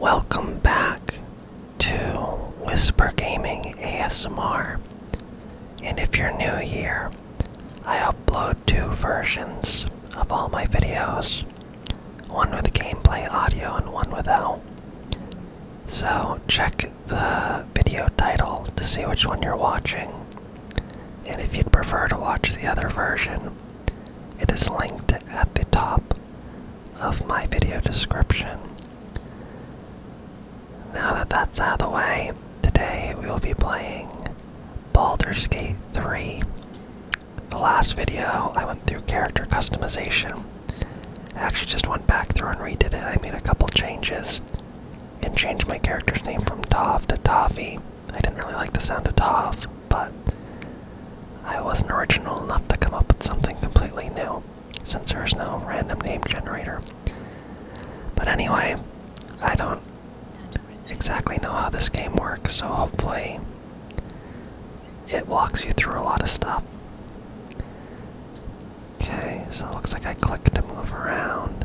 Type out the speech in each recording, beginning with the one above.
Welcome back to Whisper Gaming ASMR. And if you're new here, I upload two versions of all my videos one with gameplay audio and one without. So check the video title to see which one you're watching. And if you'd prefer to watch the other version, it is linked at the top of my video description. Now that that's out of the way, today we will be playing Baldur's Gate 3. The last video I went through character customization. I actually just went back through and redid it. I made a couple changes and changed my character's name from Tav to Tavi I didn't really like the sound of Toff, but I wasn't original enough to come up with something completely new, since there's no random name generator. But anyway, I don't exactly know how this game works, so hopefully it walks you through a lot of stuff. Okay, so it looks like I click to move around.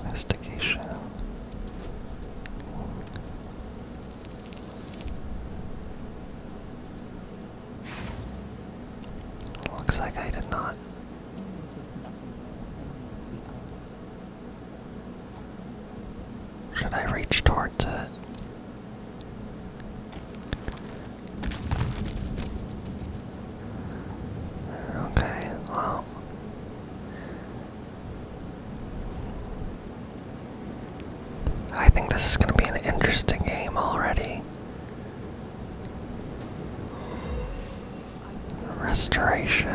Investigation. Looks like I did not. Should I reach towards it? Okay, well, I think this is going to be an interesting game already. Restoration.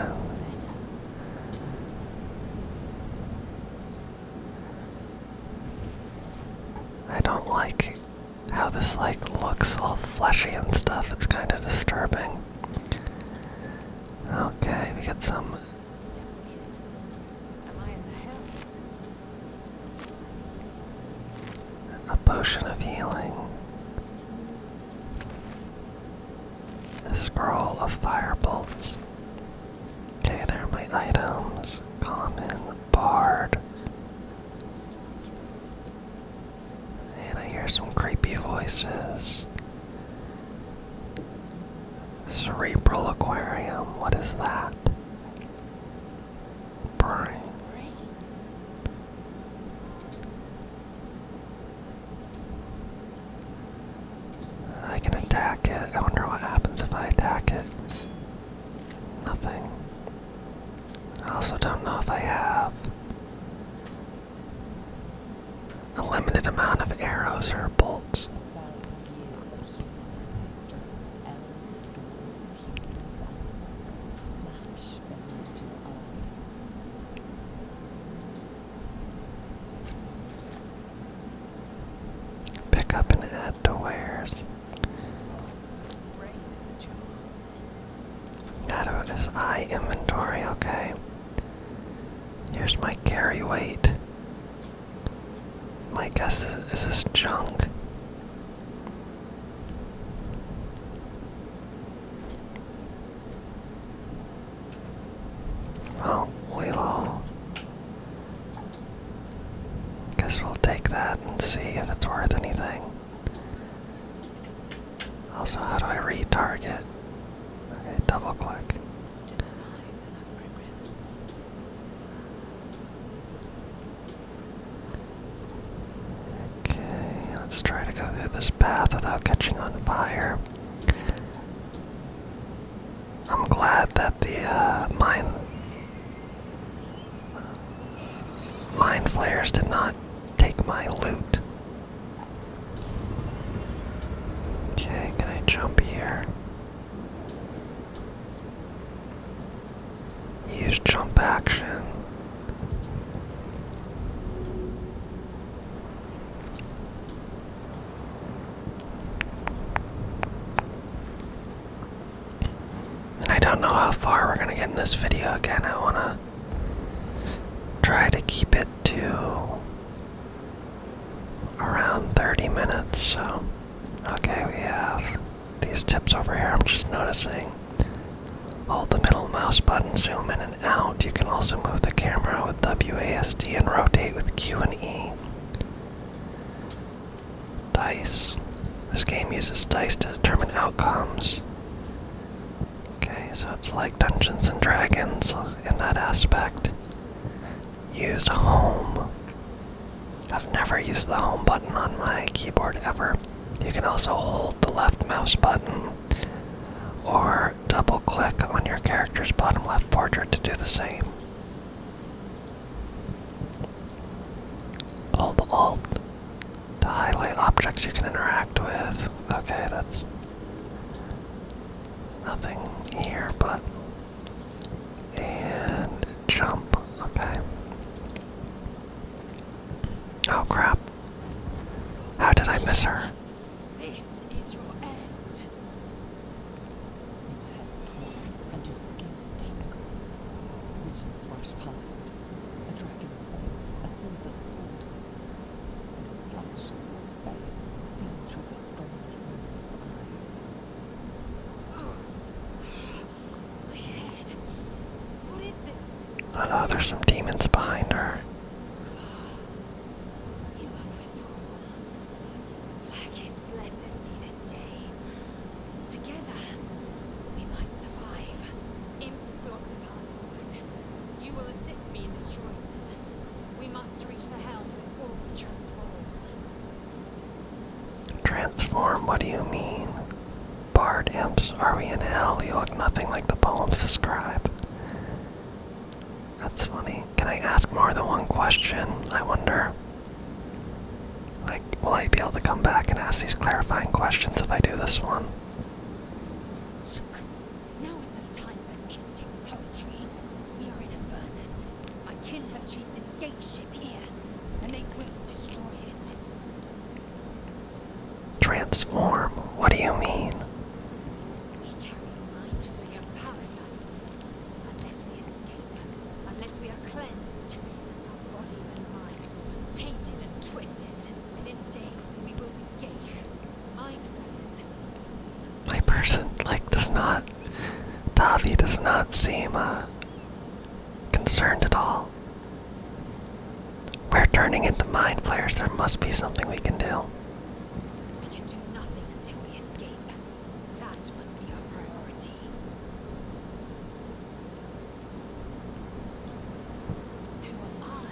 I don't like how this like looks all fleshy and stuff. It's kind of disturbing. Okay, we got some. A potion of healing. A scroll of fire bolts. Okay, there are my items. Common, bard. And I hear some creepy voices. Cerebral aquarium, what is that? Brain. I can attack it. I wonder what happens if I attack it. Nothing. I also don't know if I have a limited amount of arrows or bolts. Pick up and add to wares. Add to this eye inventory, okay. Here's my carry weight. My guess is, is this junk. Well, we will. Guess we'll take that and see if it's worth anything. Also, how do I retarget? Okay, double click. Okay, let's try to go through this path without catching on fire. I'm glad that the uh, mine mine flares did not take my loot. Okay, can I jump here? Use jump action. I don't know how far we're going to get in this video again. I want to try to keep it to around 30 minutes. So, okay, we have these tips over here. I'm just noticing. Hold the middle mouse button, zoom in and out. You can also move the camera with WASD and rotate with Q and E. Dice. This game uses dice to determine outcomes. Okay, so it's like Dungeons and Dragons in that aspect. Use home. I've never used the home button on my keyboard ever. You can also hold the left mouse button or double click on your character's bottom left portrait to do the same. Hold Alt to highlight objects you can interact with. Okay, that's Nothing here, but. And jump. Okay. Oh crap. How did I miss her? This is your end. Visions rush past. A dragon's wing, a silver sword, and a flash of face seen through the strange woman's eyes. Oh, oh, there's some demons behind her. Together, we might survive. Imps block the path forward. You will assist me in destroying them. We must reach the helm before we transform. Transform? What do you mean? Bard imps, are we in hell? You look nothing like the poems describe. That's funny. Can I ask more than one question? I wonder. Like, will I be able to come back and ask these clarifying questions if I do this one? Now is the time for mystic poetry. We are in a furnace. My kin have chased this gate ship here, and they will destroy it. Transform? What do you mean? We carry mindfully of parasites. Unless we escape, unless we are cleansed, our bodies and minds will be tainted and twisted. Within days we will be gay. My person, like, does not. Tavi does not seem, uh, concerned at all. We're turning into mind flayers. There must be something we can do. We can do nothing until we escape. That must be our priority. Who am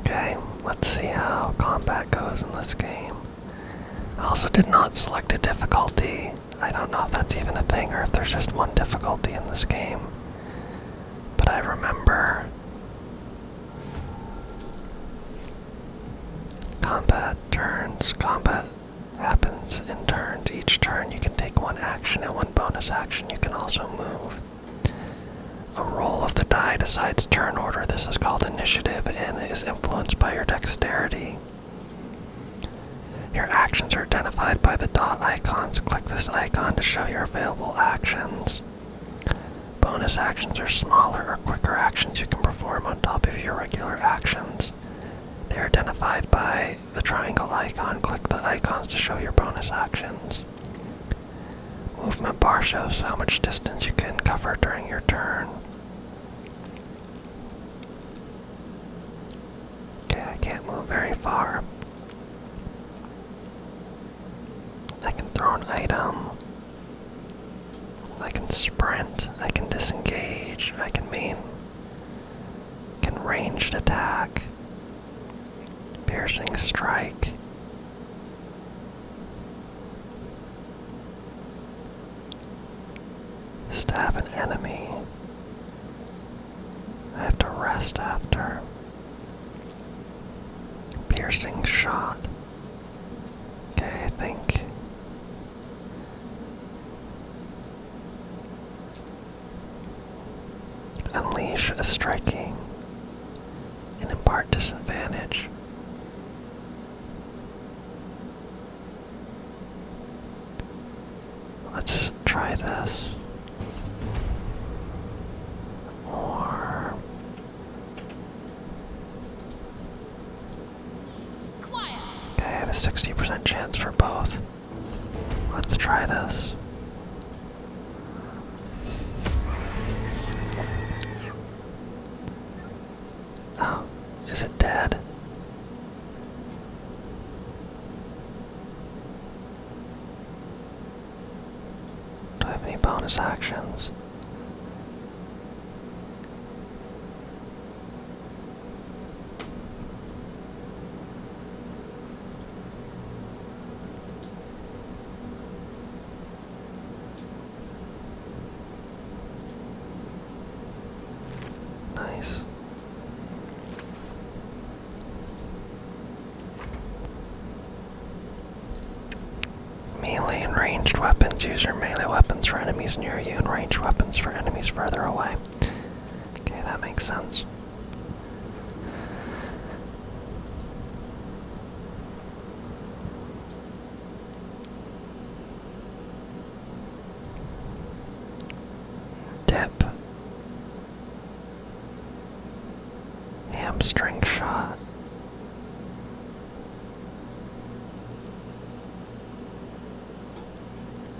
Okay, let's see how combat goes in this game. I also did not select a difficulty. I don't know if that's even a thing or if there's just one difficulty in this game. But I remember combat turns, combat happens in turns. Each turn you can take one action and one bonus action. You can also move. A roll of the die decides turn order. This is called initiative and is influenced by your dexterity. Your actions are identified by the dot icons. Click this icon to show your available actions. Bonus actions are smaller or quicker actions you can perform on top of your regular actions. They are identified by the triangle icon, click the icons to show your bonus actions. Movement bar shows how much distance you can cover during your turn. Okay, I can't move very far. I can throw an item. I can sprint. I can disengage. I can main can ranged attack, piercing strike. Stab an enemy. I have to rest after. Piercing shot. Okay, I think. Unleash a striking and impart disadvantage. Let's try this. Or I have a 60% chance for both. Let's try this. Oh, is it dead? Do I have any bonus actions? Nice. Melee and ranged weapons. Use your melee weapons for enemies near you and ranged weapons for enemies further away. Okay, that makes sense. Dip. Hamstring shot.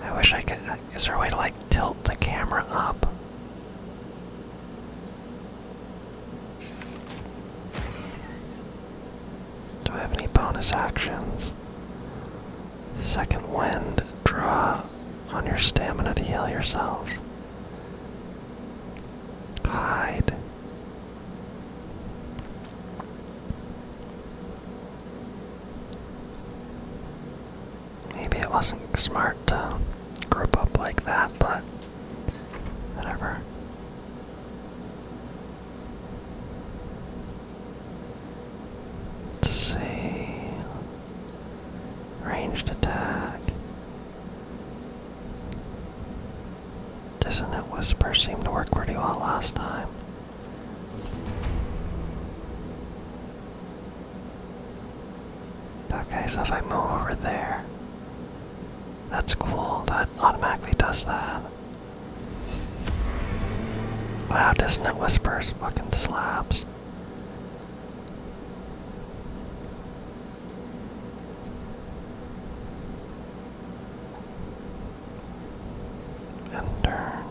I wish I could. Uh, is there a way to like tilt the camera up? Do I have any bonus actions? Second wind, draw on your stamina to heal yourself. Hide. Maybe it wasn't smart to group up like that, but whatever. Let's see. Ranged attack. Dissonant Whisper seemed to work pretty well last time. Okay, so if I move over there, that's cool. That automatically does that. Wow, Dissonant Whispers fucking slaps. And turn.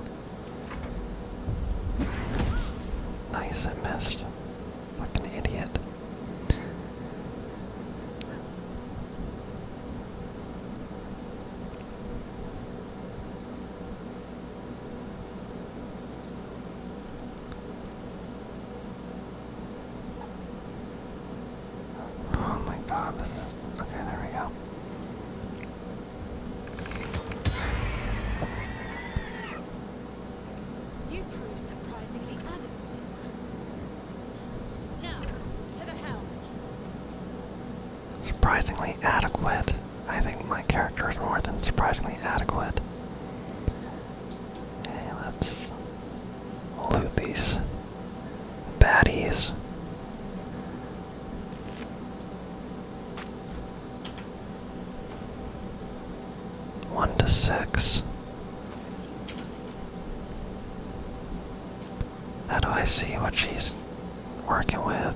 Nice, I missed. Like an idiot. Oh my god, this is. Okay, there we go. Surprisingly adequate. I think my character is more than surprisingly adequate. Okay, let's loot these baddies. One to six. How do I see what she's working with?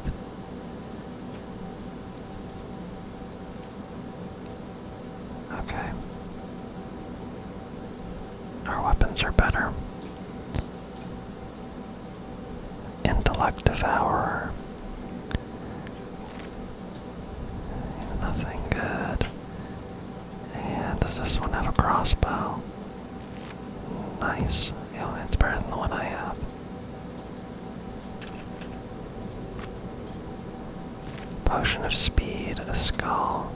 Okay. Our weapons are better. Intellect Devourer. Nothing good. And does this one have a crossbow? Nice. it's better than the one I have. Potion of Speed, a skull.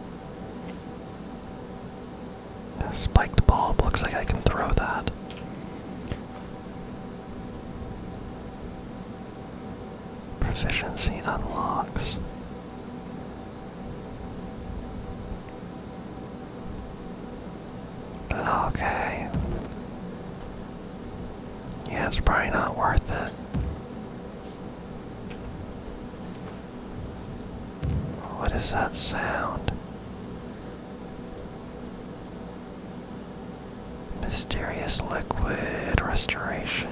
A spiked ball. looks like I can throw that. Proficiency unlocks. Okay. Yeah, it's probably not worth it. What is that sound? Mysterious liquid restoration.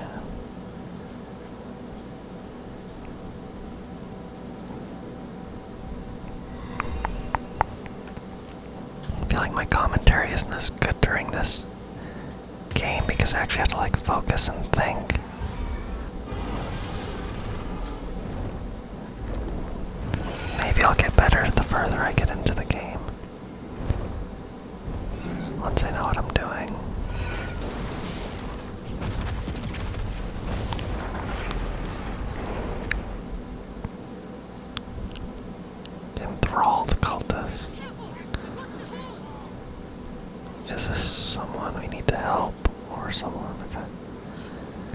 I feel like my commentary isn't as good during this game because I actually have to like focus and think. Maybe I'll get better the further I get into the game. Once I know what I'm doing. Enthralled cultist. Is this someone we need to help or someone? Okay.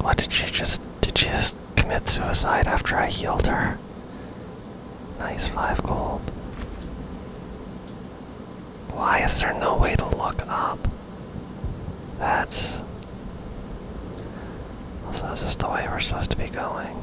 What did she just did just commit suicide after I healed her? Nice five gold. Why is there no way to look up? That's also is this the way we're supposed to be going?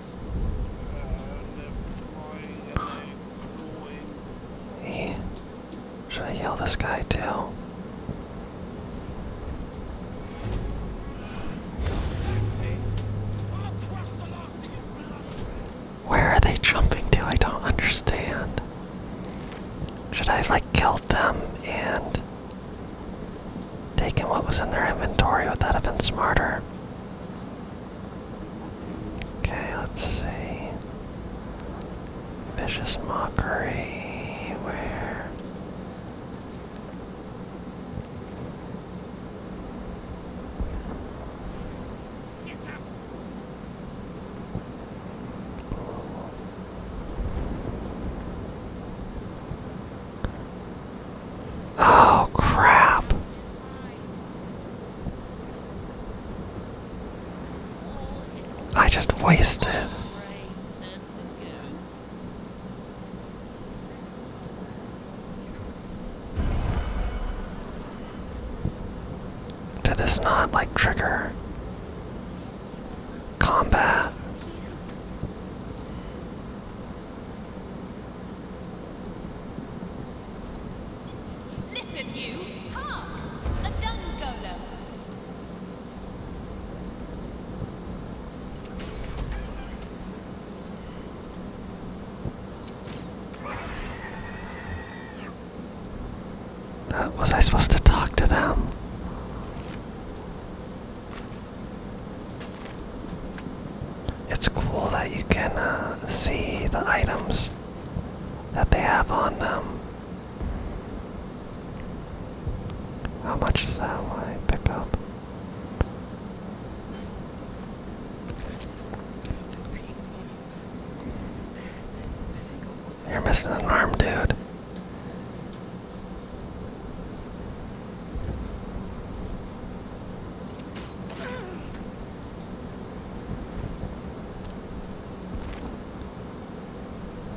Should I kill this guy too? Where are they jumping to? I don't understand. Should I have like killed them and taken what was in their inventory? Would that have been smarter? Okay, let's see. Vicious mockery. Where? Oh crap. I just wasted. Did this not like trigger combat? Listen, you. Hark! A Dungola. That, was I supposed to talk to them? It's cool that you can uh, see the items that they have on them. How much is that one I picked up? You're missing an arm, dude.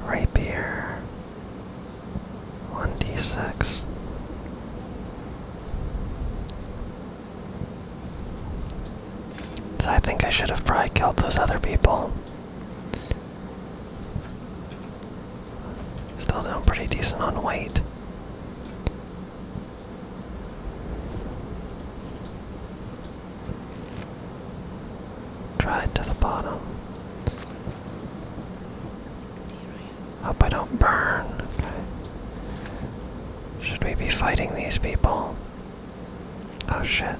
Rapier, one D six. So I think I should have probably killed those other people. Still doing pretty decent on weight. Try it to the bottom. Hope I don't burn. Should we be fighting these people? Oh shit.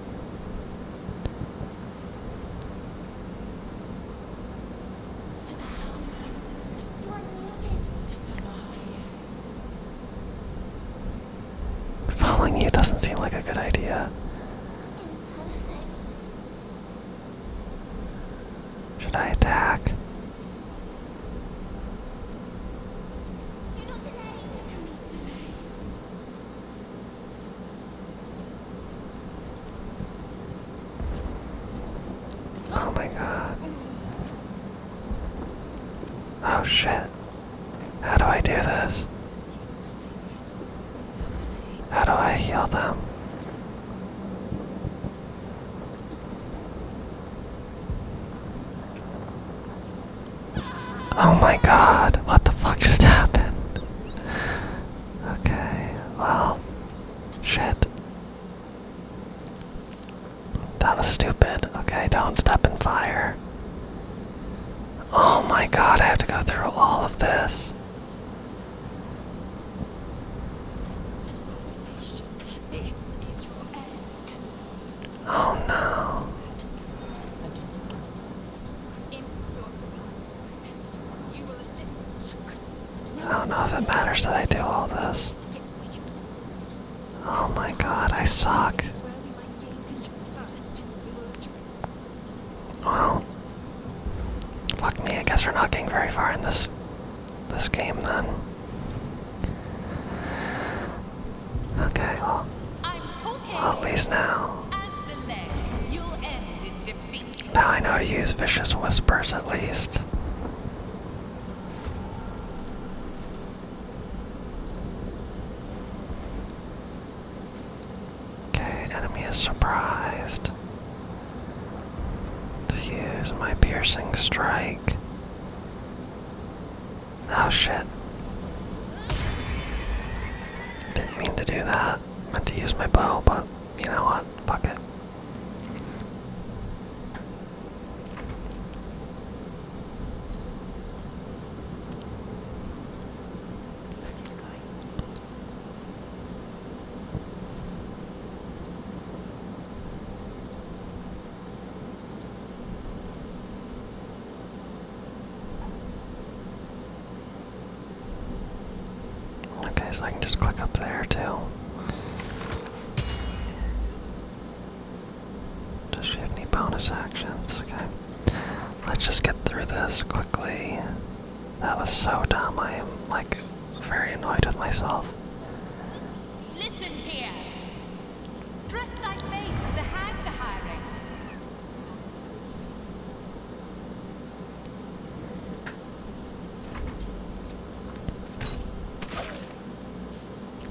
Following you doesn't seem like a good idea. Should I attack? Oh my god. Oh shit. How do I do this? How do I heal them? Oh my god, what the fuck just happened? Okay, well, shit. That was stupid. Okay, don't step in fire. Oh my god, I have to go through all of this. Oh no. I don't know if it matters that I do all this. Oh my god, I suck. Well, fuck me. I guess we're not getting very far in this this game then. Okay, well at least now. Now I know to use vicious whispers at least. Okay, enemy is surprised. To use my piercing strike. Oh shit. Didn't mean to do that. Meant to use my bow, but you know what? Fuck it. Okay, so I can just click up there too. Does she have any bonus actions? Okay. Let's just get through this quickly. That was so dumb. I am, like, very annoyed with myself. Listen here. Dress thy face. The hags are hiring.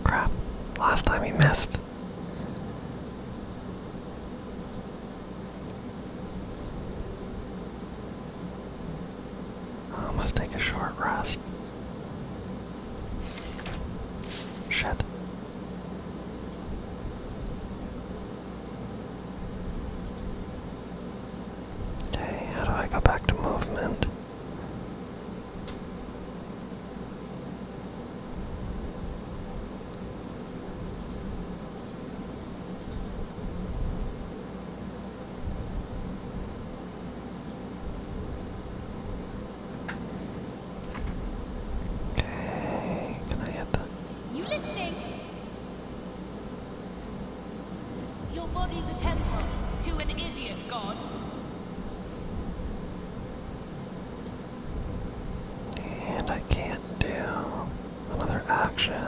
Crap. Last time he missed. I oh, must take a short rest. Shit. Okay, how do I go back to movement? Okay, can I hit that? You listening? Your body's a temple to an idiot god. And I can't do another action.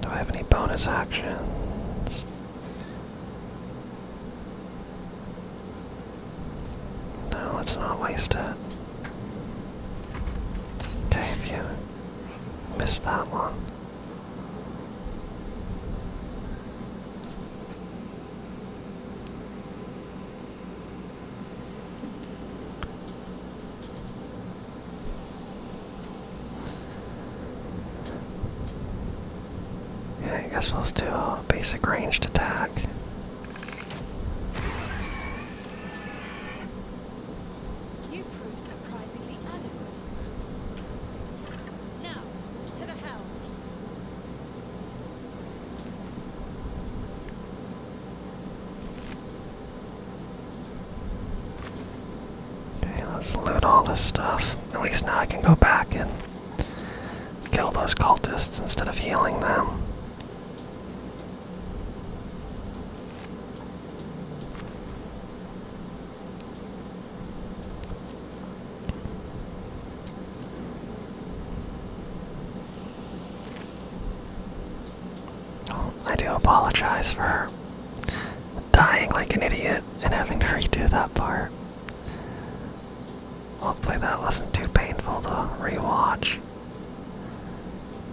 Do I have any bonus actions? No, it's not wasted. Okay, if you missed that one. Yeah, I guess we'll do a basic ranged attack. Okay, let's loot all this stuff. At least now I can go back and kill those cultists instead of healing them. I do apologize for dying like an idiot and having to redo that part. Hopefully that wasn't too painful to rewatch.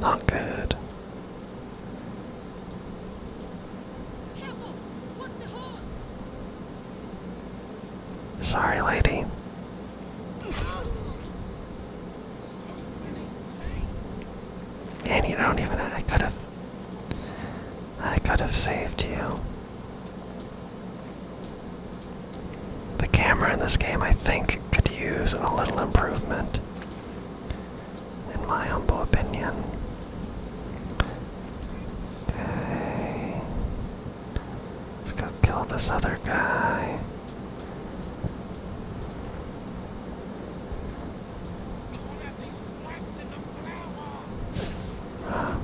Not good. Sorry, lady. And you don't even. I could have. I could have saved you. The camera in this game, I think, could use a little improvement, in my humble opinion. Okay. Let's go kill this other guy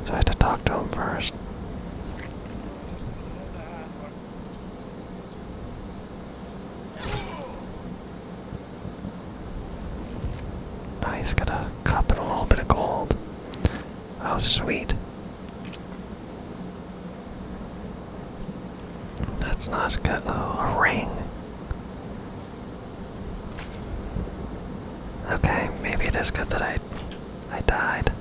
so I had to talk to him first. Now got a cup and a little bit of gold. Oh, sweet. That's not as oh, a ring. Okay, maybe it is good that I I died.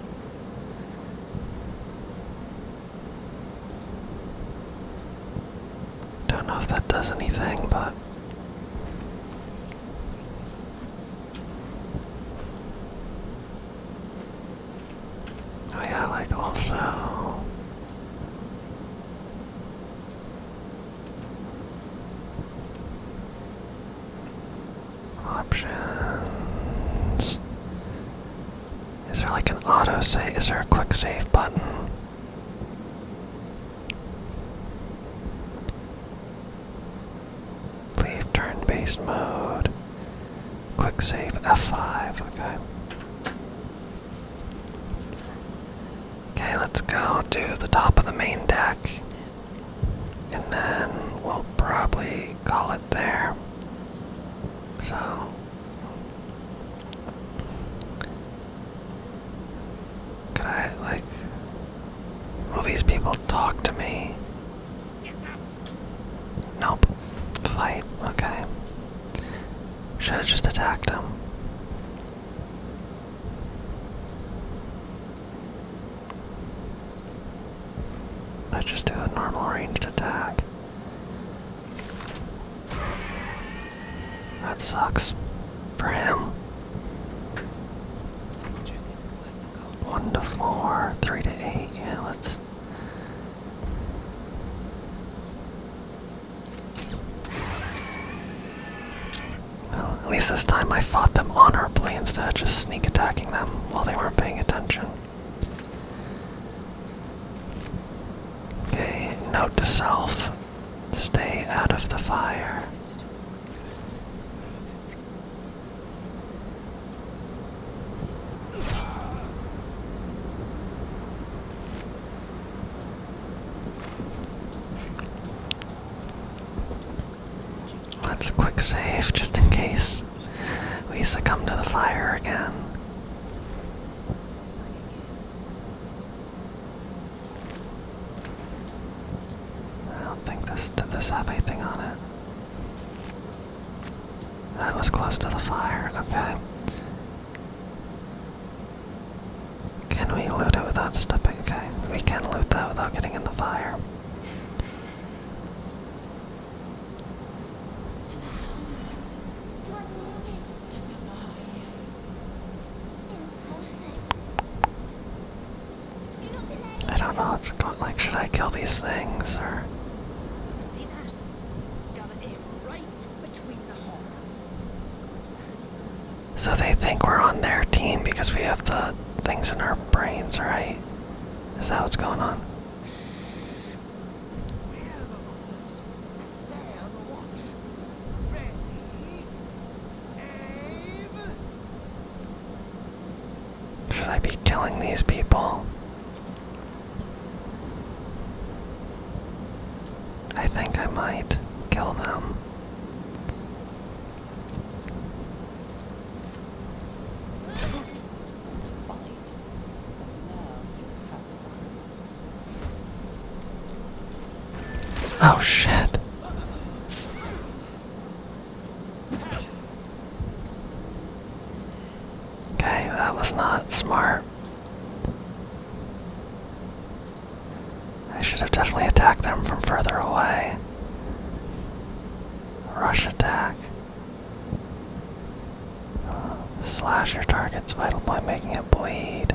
Don't know if that does anything, but. Oh, yeah, like also. Options. Is there like an auto save? Is there a quick save button? Leave turn based mode. Quick save F5. Okay. Okay, let's go to the top of the main deck and then we'll probably call it there. So. Could I, like. Will these people talk to me? Nope. Fight. Okay. Should have just attacked him. Let's just do a normal ranged attack. That sucks for him. One to four, three to eight. let's. Well, at least this time I fought them honorably instead of just sneak attacking them while they weren't paying attention. Okay, note to self stay out of the fire. Let's quick save just in case we succumb to the fire again. I don't think this did this have anything on it. That was close to the fire, okay. Can we loot it without stepping? Okay, we can loot that without getting in the fire. I don't know what's like should I kill these things or So they think we're on their team because we have the things in our brains, right? Is that what's going on? Should I be killing these people? I think I might kill them. Oh shit. Okay, that was not smart. I should have definitely attacked them from further away. Rush attack. slash your target's vital by making it bleed.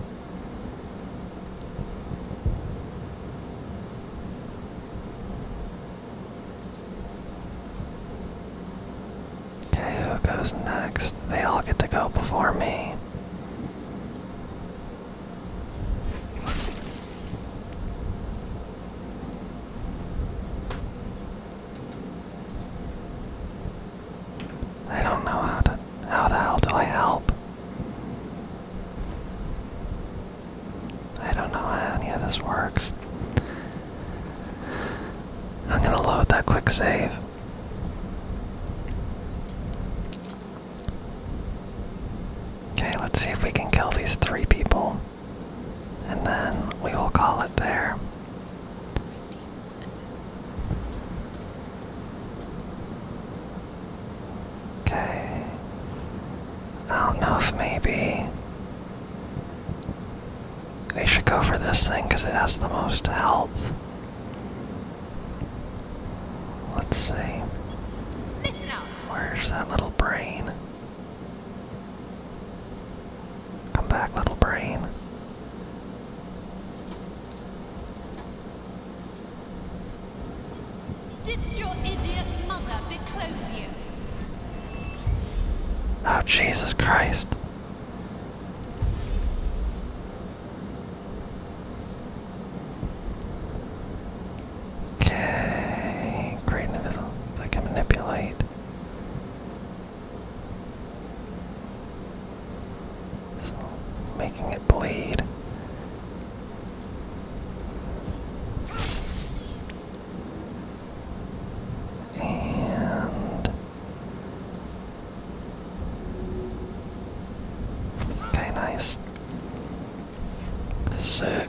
Okay, who goes next? They all get to go before me. I don't know how to how the hell do I help? I don't know how any of this works. I'm gonna load that quick save. Okay, let's see if we can kill these three people and then we will call it there. Okay. I don't know if maybe we should go for this thing because it has the most health. Let's see. Where's that little brain? Come back, little brain. Didst your idiot mother beclothe you? Oh, Jesus Christ. Okay, great invisible. I can manipulate. So, making it bleed. And okay, nice. Sick.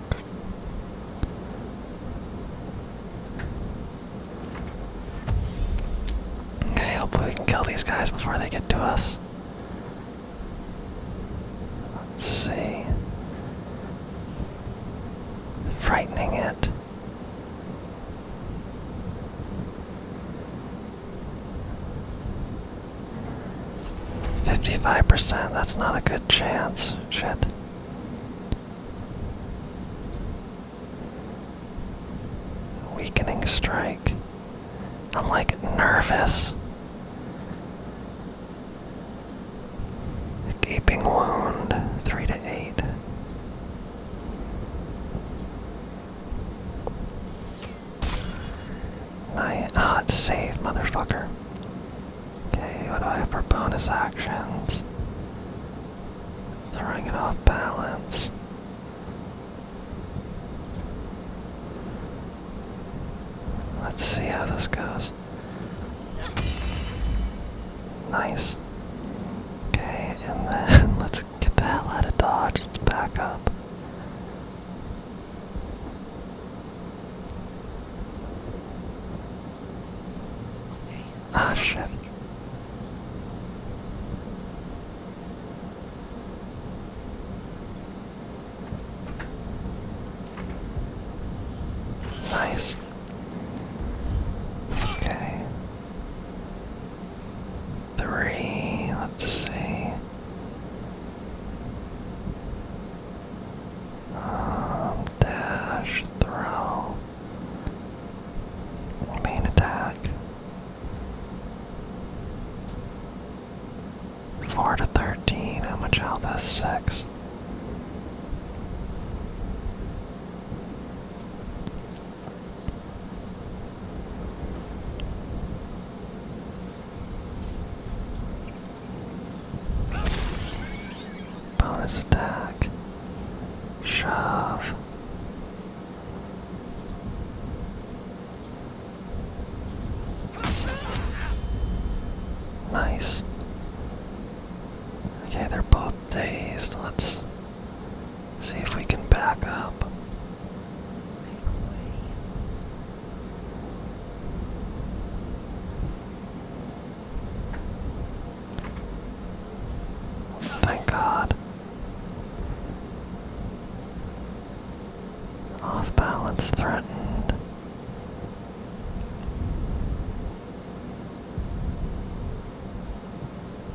Okay, hopefully we can kill these guys before they get to us. Let's see. Frightening it. Fifty-five percent, that's not a good chance. Shit. Weakening strike. I'm like nervous. Gaping wound, three to eight. I ah, it's saved, motherfucker. Okay, what do I have for bonus actions? Throwing it off balance. Let's see how this goes. Nice. Okay, and then let's get the hell out of Dodge. Let's back up. Ah, Nice. Okay. Three, let's see. Um, dash, throw, main attack. Four to thirteen. How much health has six? Bonus attack. Shove. Nice. Okay, they're both dazed. Let's see if we can back up. Thank God. Off balance threatened.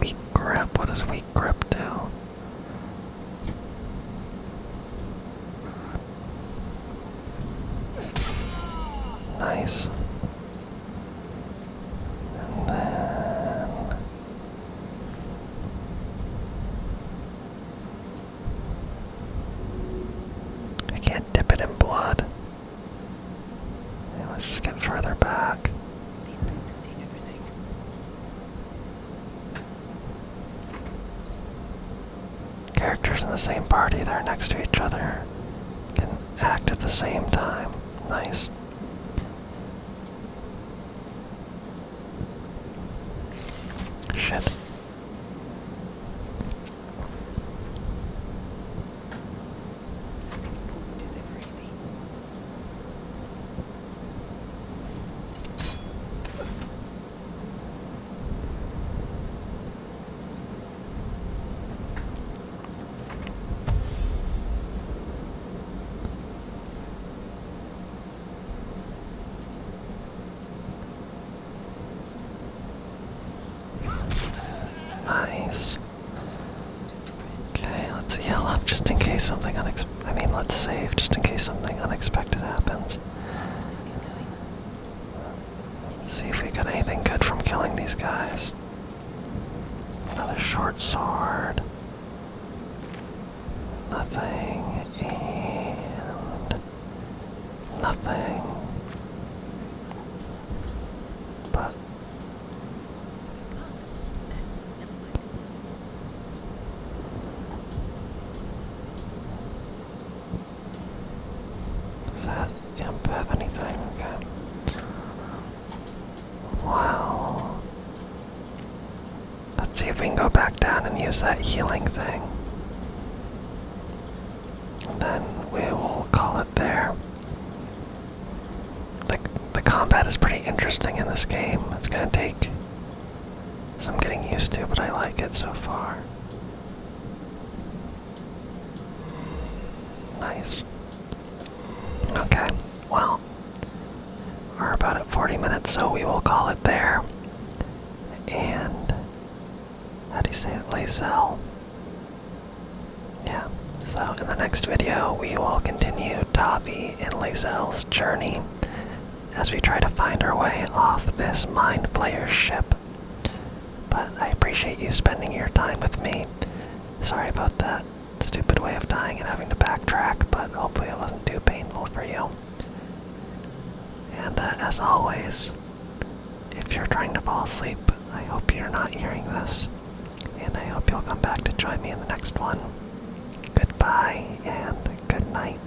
Weak grip, what does weak grip do? Nice. And then I can't dip it in blood. let's just get further back. Characters in the same party that are next to each other can act at the same time. Nice. Shit. Nice. Okay, let's yell up just in case something unex. I mean, let's save just in case something unexpected happens. See if we got anything good from killing these guys. Another short sword. Nothing nothing. But does that imp have anything? Okay. Wow. Let's see if we can go back down and use that healing thing. then we will call it there. The, the combat is pretty interesting in this game. It's gonna take some getting used to, but I like it so far. Nice. Okay, well, we're about at 40 minutes, so we will call it there. And, how do you say it? Lazelle. Yeah, so in the next video, we will continue Tavi and Lazelle's journey as we try to find our way off this Mind Flayer ship. But I appreciate you spending your time with me. Sorry about that stupid way of dying and having to backtrack, but hopefully it wasn't too painful for you. And uh, as always, if you're trying to fall asleep, I hope you're not hearing this. And I hope you'll come back to join me in the next one. Goodbye and good night.